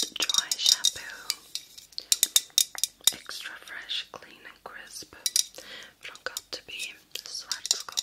the Dry Shampoo. Extra fresh, clean and crisp. From God to be Svartskål.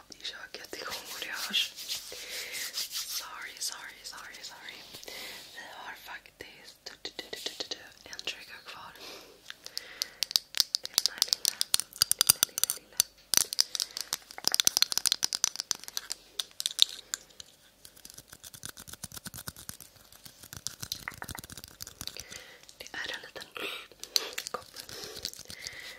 love do jacket. Oh my gosh. do sorry, sorry, sorry. Vi har faktiskt du, du, du, du, du, du, en trigger kvar. Det är den här lilla, lilla, lilla, lilla. Det är en liten kopp